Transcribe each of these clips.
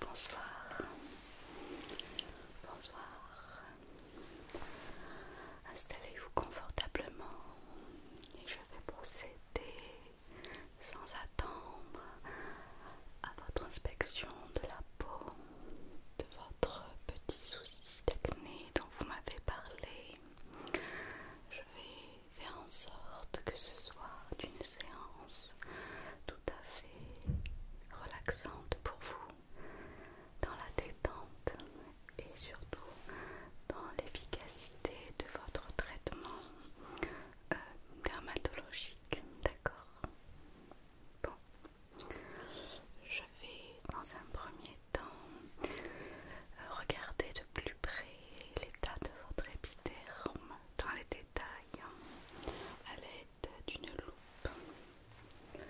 Bonsoir, bonsoir. Installez-vous confortablement et je vais procéder sans attendre à votre inspection de la peau de votre petit souci technique dont vous m'avez parlé. Je vais faire en sorte que ce soit une séance tout à fait relaxante pour vous, dans la détente et surtout dans l'efficacité de votre traitement euh, dermatologique. D'accord Bon, je vais dans un premier temps euh, regarder de plus près l'état de votre épiderme dans les détails à l'aide d'une loupe. Euh,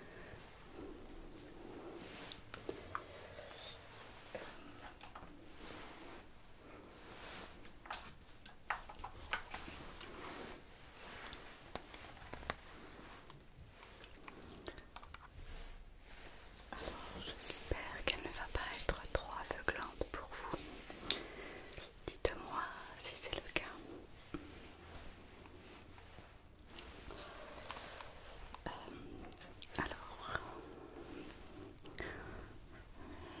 alors, j'espère qu'elle ne va pas être trop aveuglante pour vous. Dites-moi si c'est le cas. Euh, alors,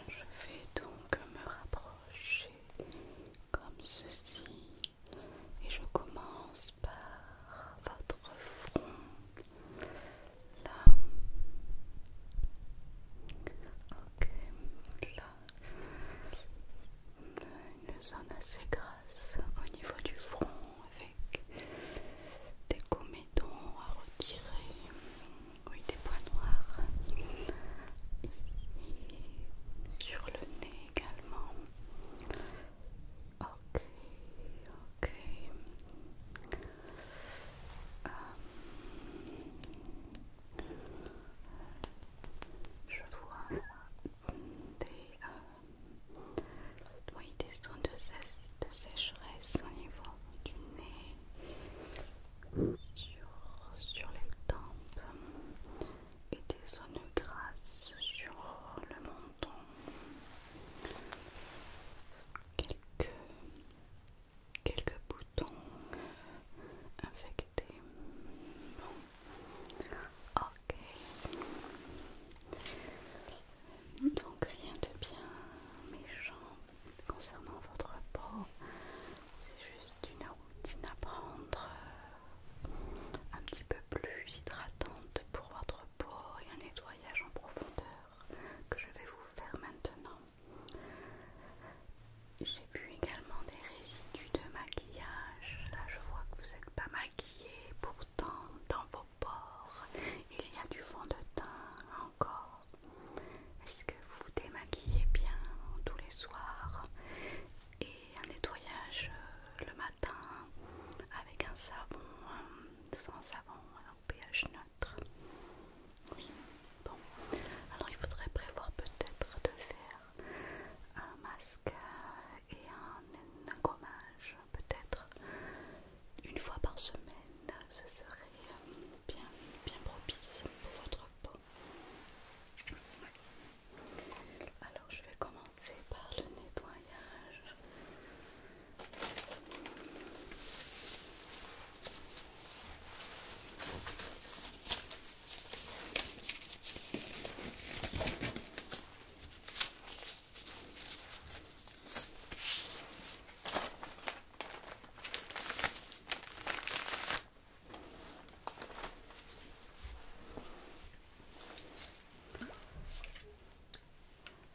je vais donc me rapprocher comme ceci. Et je commence par votre front. Là. Ok. Là. Une zone assez grasse au niveau du front avec des comédons à retirer oui, des points noirs ici sur le nez également. Ok, ok. Euh, je vois des, euh, oui, de sécheresse au niveau du nez sur, sur les tempes et des zones grasses sur le menton. Quelques, quelques boutons infectés. Ok. Donc rien de bien méchant concernant votre peau. C'est juste une routine à prendre euh, un petit peu plus hydratante pour votre peau et un nettoyage en profondeur que je vais vous faire maintenant. J'ai vu également des résidus de maquillage. Là, je vois que vous n'êtes pas maquillée. Pourtant, dans vos pores, il y a du fond de teint encore est-ce que vous vous démaquillez bien tous les soirs et un nettoyage euh, le matin avec un savon, euh, sans savon, un pH neutre Oui, bon. Alors il faudrait prévoir peut-être de faire un masque et un gommage, peut-être une fois par semaine. Ce serait euh, bien, bien propice pour votre peau. Alors je vais commencer par le nettoyage.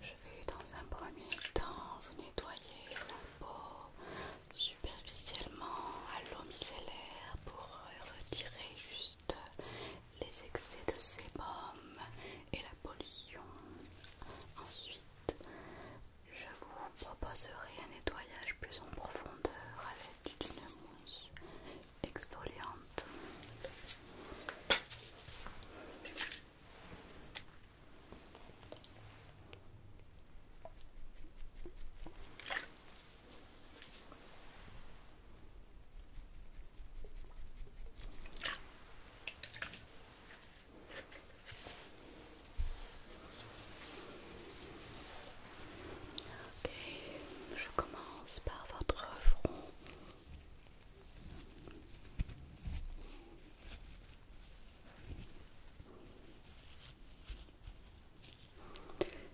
Je vais dans un premier temps vous nettoyer la peau superficiellement à l'eau micellaire pour euh, retirer juste les excès de sébum et la pollution. Ensuite, je vous proposerai un nettoyage plus en profondeur avec une mousse exfoliante. Ok, je commence par votre front.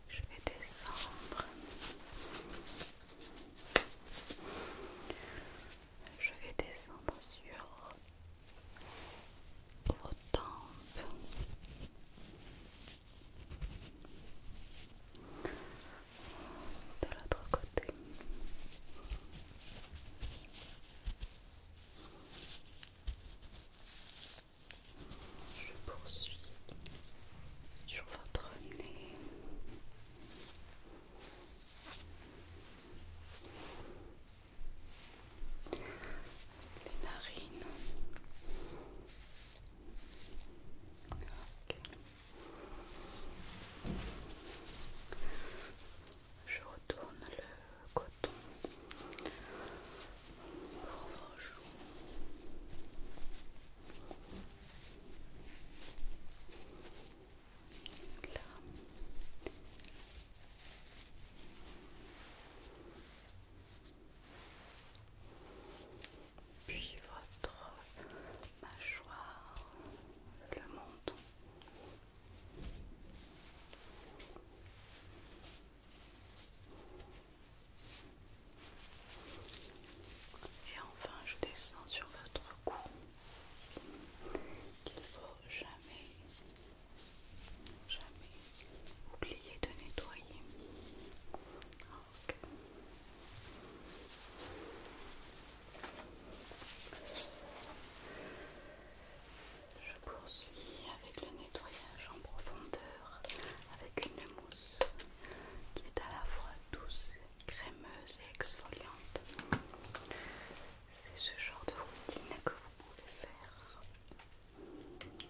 Je vais descendre. Je vais descendre sur de l'autre côté. Je poursuis sur votre nez les narines. Je retourne le coton puis votre mâchoire, le menton. Et enfin, je descends sur votre cou qu'il ne faut jamais Jamais oublié de nettoyer. Je poursuis avec le nettoyage en profondeur avec une mousse qui est à la fois douce, crémeuse et exfoliante. C'est ce genre de routine que vous pouvez faire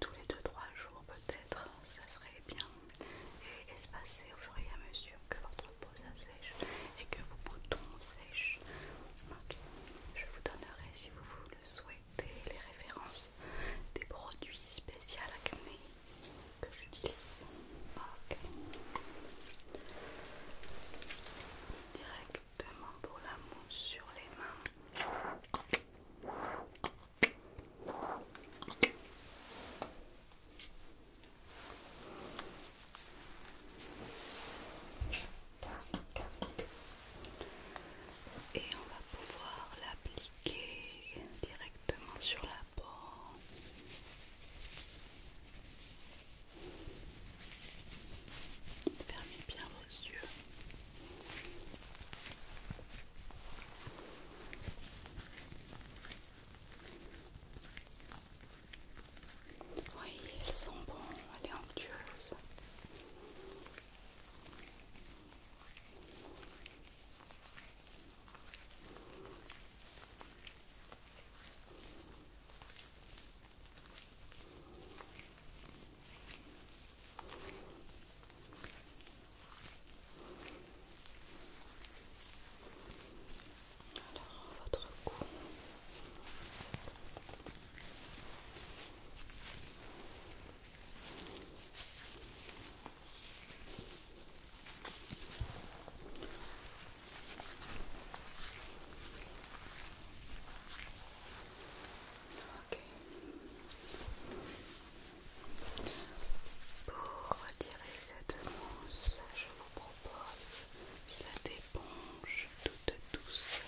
tous les 2-3 jours peut-être, ça serait bien. Et espacer au fur et à mesure que votre peau sèche et que vos boutons sèchent. Je vous donnerai si vous, vous le souhaitez les références des produits spéciaux acné que j'utilise. Ok pour la mousse sur les mains. Et on va pouvoir l'appliquer directement sur la peau. Fermez bien vos yeux. Oui, elles sont bonnes, elle est onctueuse. Alors, votre cou. Pour retirer cette mousse, je vous propose cette éponge toute douce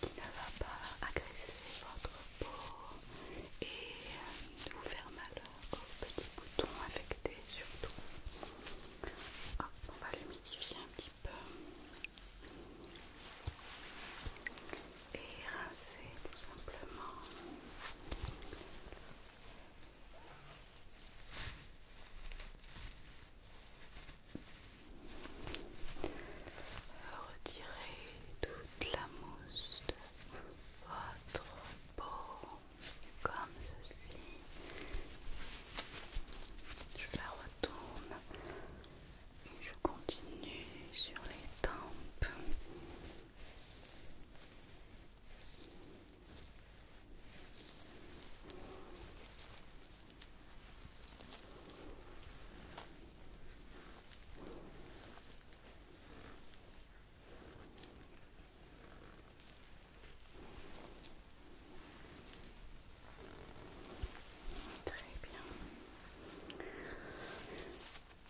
qui ne va pas agresser votre peau et vous faire mal aux petit bouton affecté surtout on va l'humidifier un petit peu et rincer tout simplement. Retirez toute la mousse de votre peau comme ceci. Je la retourne et je continue sur les tempes. Très bien.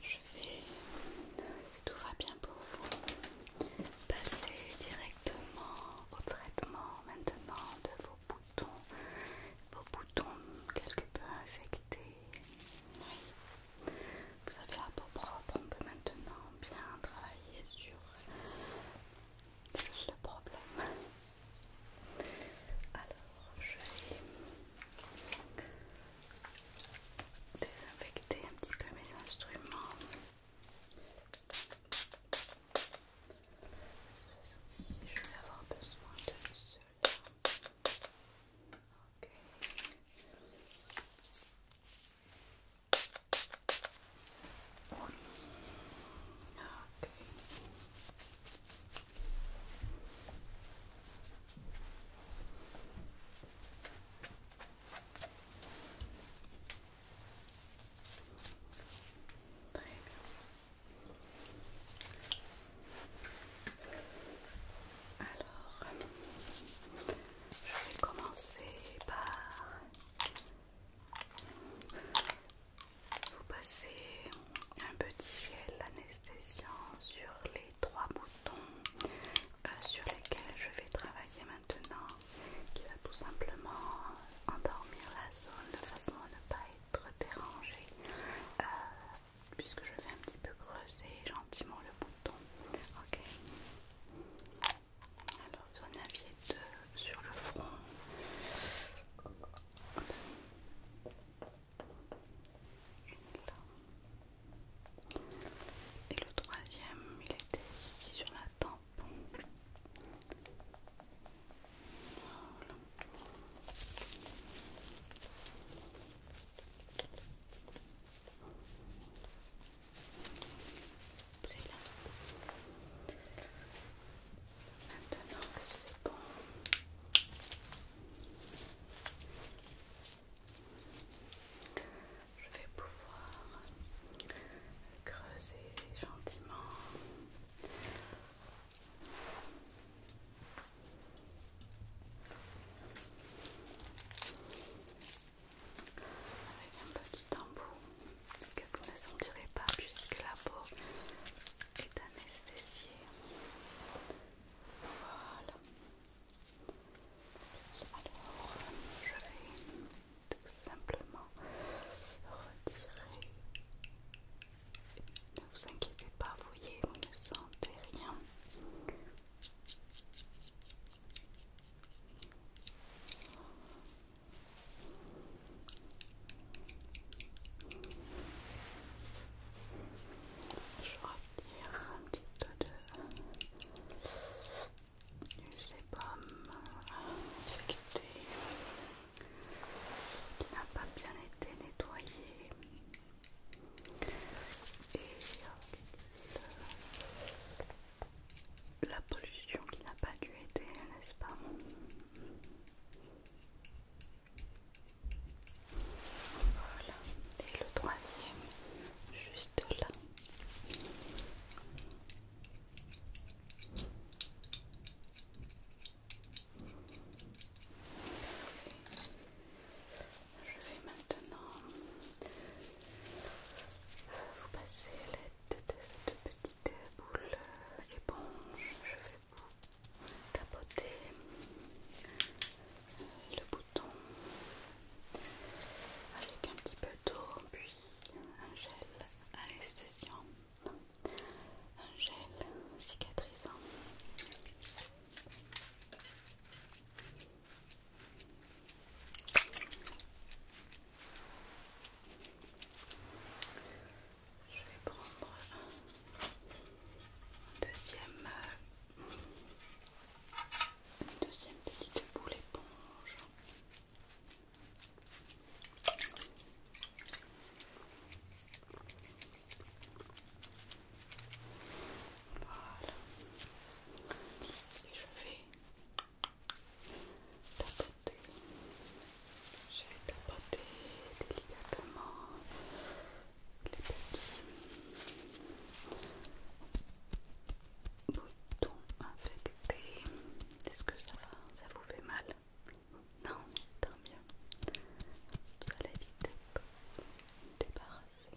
Je vais, si tout va bien pour vous, passer directement au traitement maintenant de vos boutons, vos boutons quelque peu infectés. Oui. Vous avez la peau propre, on peut maintenant bien travailler sur le problème. Alors, je vais désinfecter un petit peu mes instruments. Ceci, je vais avoir besoin de cela. Ok. Alors, je vais commencer par vous passez un petit gel anesthésiant sur les trois boutons euh, sur lesquels je vais travailler maintenant, qui va tout simplement endormir la zone de façon à ne pas être dérangée, euh, puisque je vais un petit peu creuser gentiment le bouton. Ok. Alors, vous en aviez deux sur le front. Et le troisième, il était ici sur la tempe. Maintenant que c'est bon, je vais pouvoir creuser gentiment avec un petit tambour que vous ne sentirez pas puisque la peau est anesthésiée. Voilà. Alors, je vais tout simplement retirer. Ne vous inquiétez pas, vous voyez, vous ne sentez rien. Je retire un petit peu de du sébum infecté qui n'a pas bien été nettoyé la pollution qui n'a pas dû être, n'est-ce pas Voilà, et le troisième, juste là. Je vais maintenant vous passer l'aide de cette petite boule euh, éponge. Je vais vous tapoter euh, le bouton avec un petit peu d'eau, puis un gel anesthésiant, un gel cicatrisant. Je vais prendre deuxième, euh, une deuxième petite boule éponge. Voilà. Et je vais tapoter. Je vais tapoter délicatement les petits boutons infectés. Est-ce que ça va Ça vous fait mal Non, tant mieux. Vous allez vite débarrasser.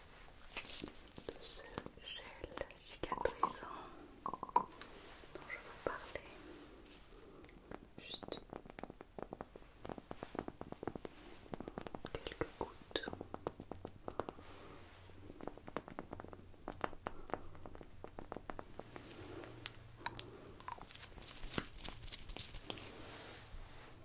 de ce gel cicatrisant dont je vous parlais. Juste quelques gouttes.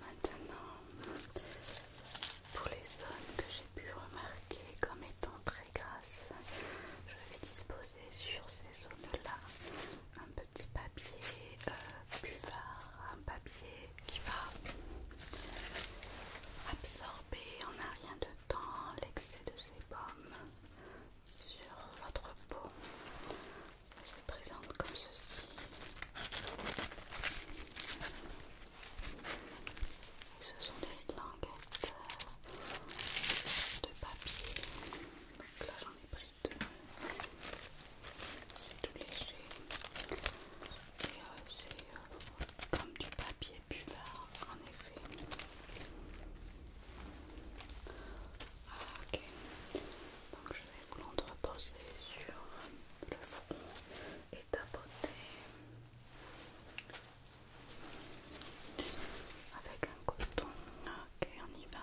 Maintenant, pour les zones que j'ai pu remarquer comme étant très grasses, je vais disposer sur ces zones-là un petit papier euh, buvard, un papier qui va absorber en un rien de temps l'excès de sébum sur votre peau se présente comme ceci. Et ce sont des languettes euh, de papier. Donc là, j'en ai pris deux. C'est tout léger. Et euh, c'est euh, comme du papier buvard, en effet. Ah, Donc je vais vous l'entreposer sur le fond et tapoter avec un coton. Ok, on y va.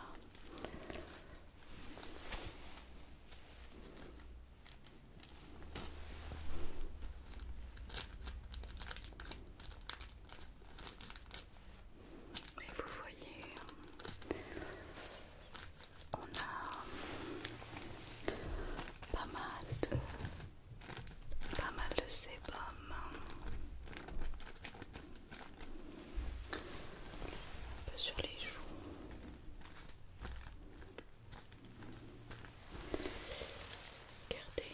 Et vous voyez, on a pas mal de, pas mal de sébum, peu sur les joues. Regardez,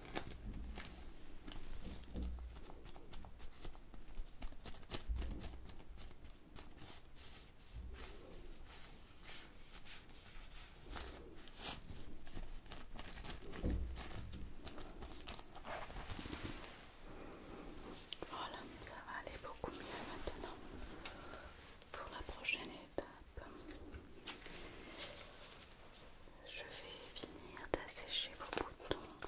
Voilà, ça va aller beaucoup mieux maintenant pour la prochaine étape. Je vais finir d'assécher vos boutons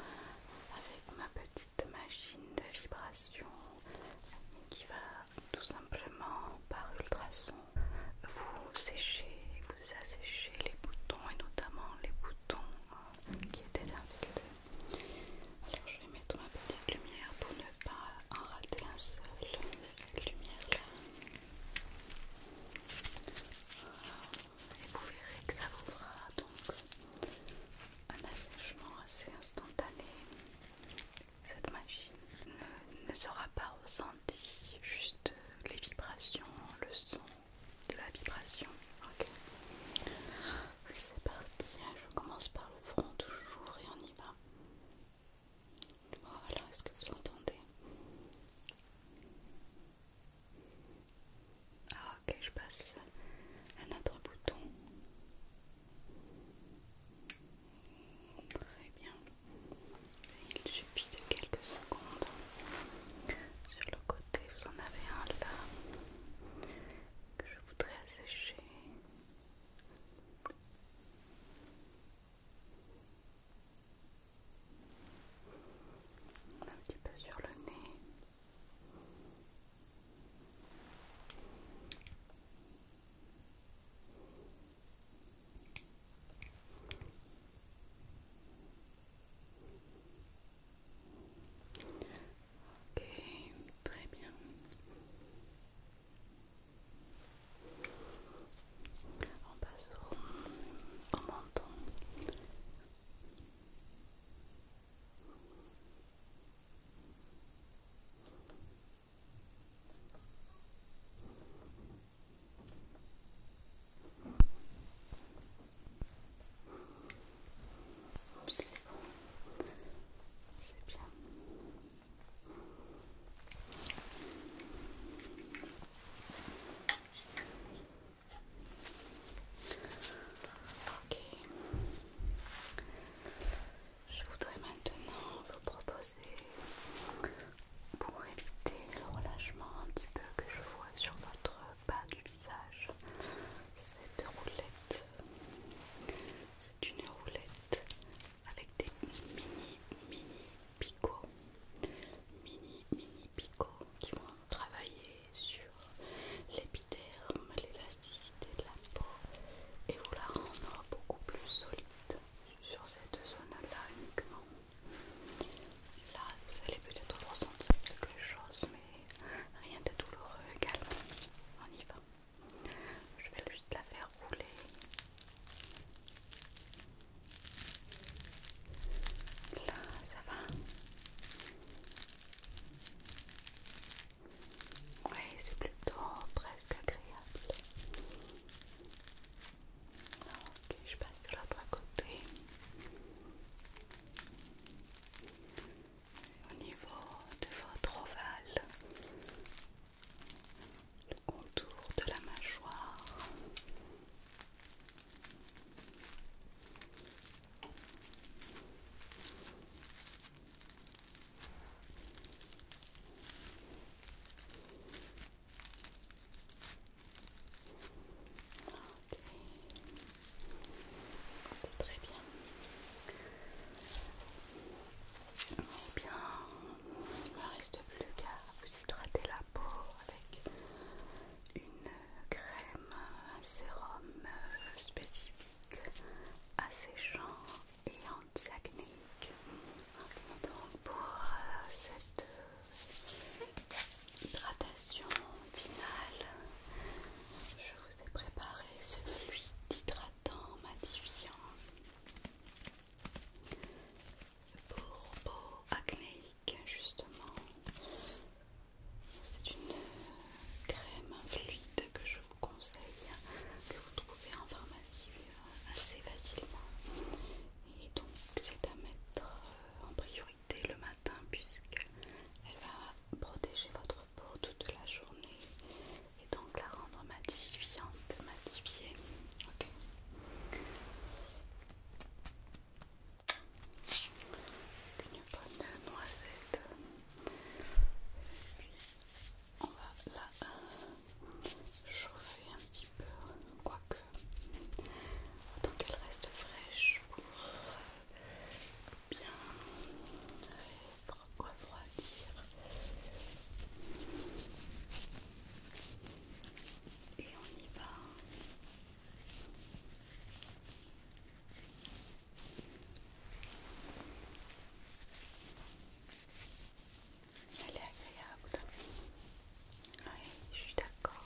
avec ma petite machine de vibration qui va tout simplement par ultrasons, vous sécher, vous assécher les boutons et notamment les boutons hein, qui étaient infectés. Alors je vais mettre ma petite lumière pour ne pas en rater un seul. lumière là et vous verrez que ça vous fera donc un assèchement assez instantané. Cette machine ne, sera pas ressentie, juste les vibrations, le son de la vibration. Ok, c'est parti. Hein, je commence par le front toujours et on y va. Alors est-ce que vous entendez ah, ok, je passe à notre bouton. Très bien. Il suffit de quelques secondes. Sur le côté, vous en avez un là que je voudrais assécher un petit peu sur le nez. Ok, très bien. On passe au, au menton. C'est bon, c'est bien. Ok. Je voudrais maintenant vous proposer, pour éviter le relâchement un petit peu que je vois sur votre bas du visage, cette roulette. C'est une roulette avec des mini mini picots mini mini picots qui vont travailler sur l'épiderme, l'élasticité de la peau et vous la rendre beaucoup plus solide sur cette zone-là uniquement. Là, vous allez peut-être ressentir quelque chose, mais rien de douloureux également. On y va. Je vais juste la faire rouler. Là, ça va Oui, c'est plutôt presque agréable. Ok, je passe de l'autre côté. Au niveau de votre ovale le contour de la mâchoire. Okay. Très bien. Eh bien, il ne reste plus qu'à vous hydrater la peau avec une crème, un sérum euh, spécifique, asséchant et anti-acnéique. Donc pour euh, cette euh, hydratation finale, je vous ai préparé ce fluide hydratant matifiant pour peau acnéique justement. C'est une crème fluide que je vous conseille, que vous trouvez en pharmacie euh, assez facilement. Et donc c'est à mettre euh, en priorité le matin puisqu'elle va protéger votre peau toute la journée et donc la rendre matifiante, matifiée. ok une bonne noisette puis on va la chauffer un petit peu quoique tant qu'elle reste fraîche pour bien refroidir et on y va. Elle est agréable. Oui, je suis d'accord.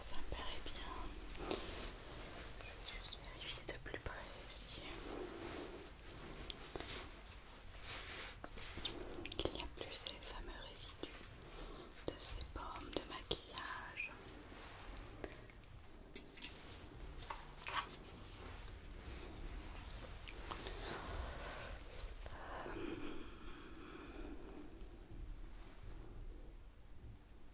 Ça me paraît bien. Je vais juste vérifier de plus près ici qu'il n'y a plus ces fameux résidus de ces pommes de maquillage. Euh, oui,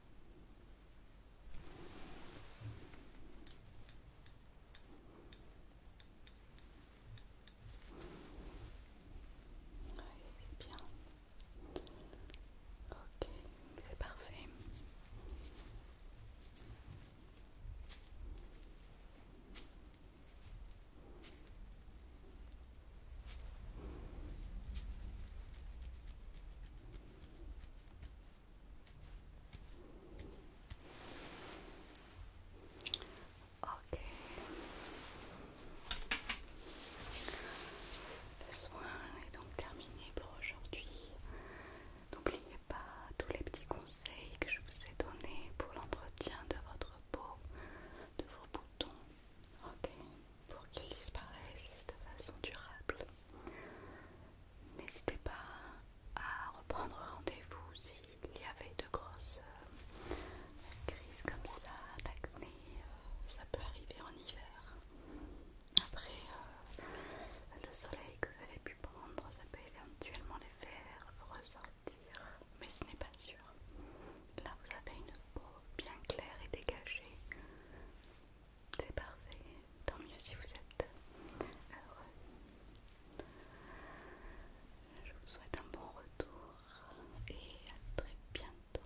c'est bien. Ok, c'est parfait. Ok. Le soin est donc terminé pour aujourd'hui. N'oubliez pas tous les petits conseils que je vous ai donnés pour l'entretien de votre peau, de vos boutons, ok, pour qu'ils disparaissent de façon durable. N'hésitez pas à reprendre rendez-vous s'il y avait de grosses euh, crises comme ça, d'acné, euh, ça peut arriver en hiver. Après euh, le soleil que vous avez pu prendre, ça peut éventuellement les faire ressortir, mais ce n'est pas sûr. Là vous avez une peau bien claire et dégagée. C'est parfait, tant mieux si vous êtes heureux. Je vous souhaite un bon retour et à très bientôt.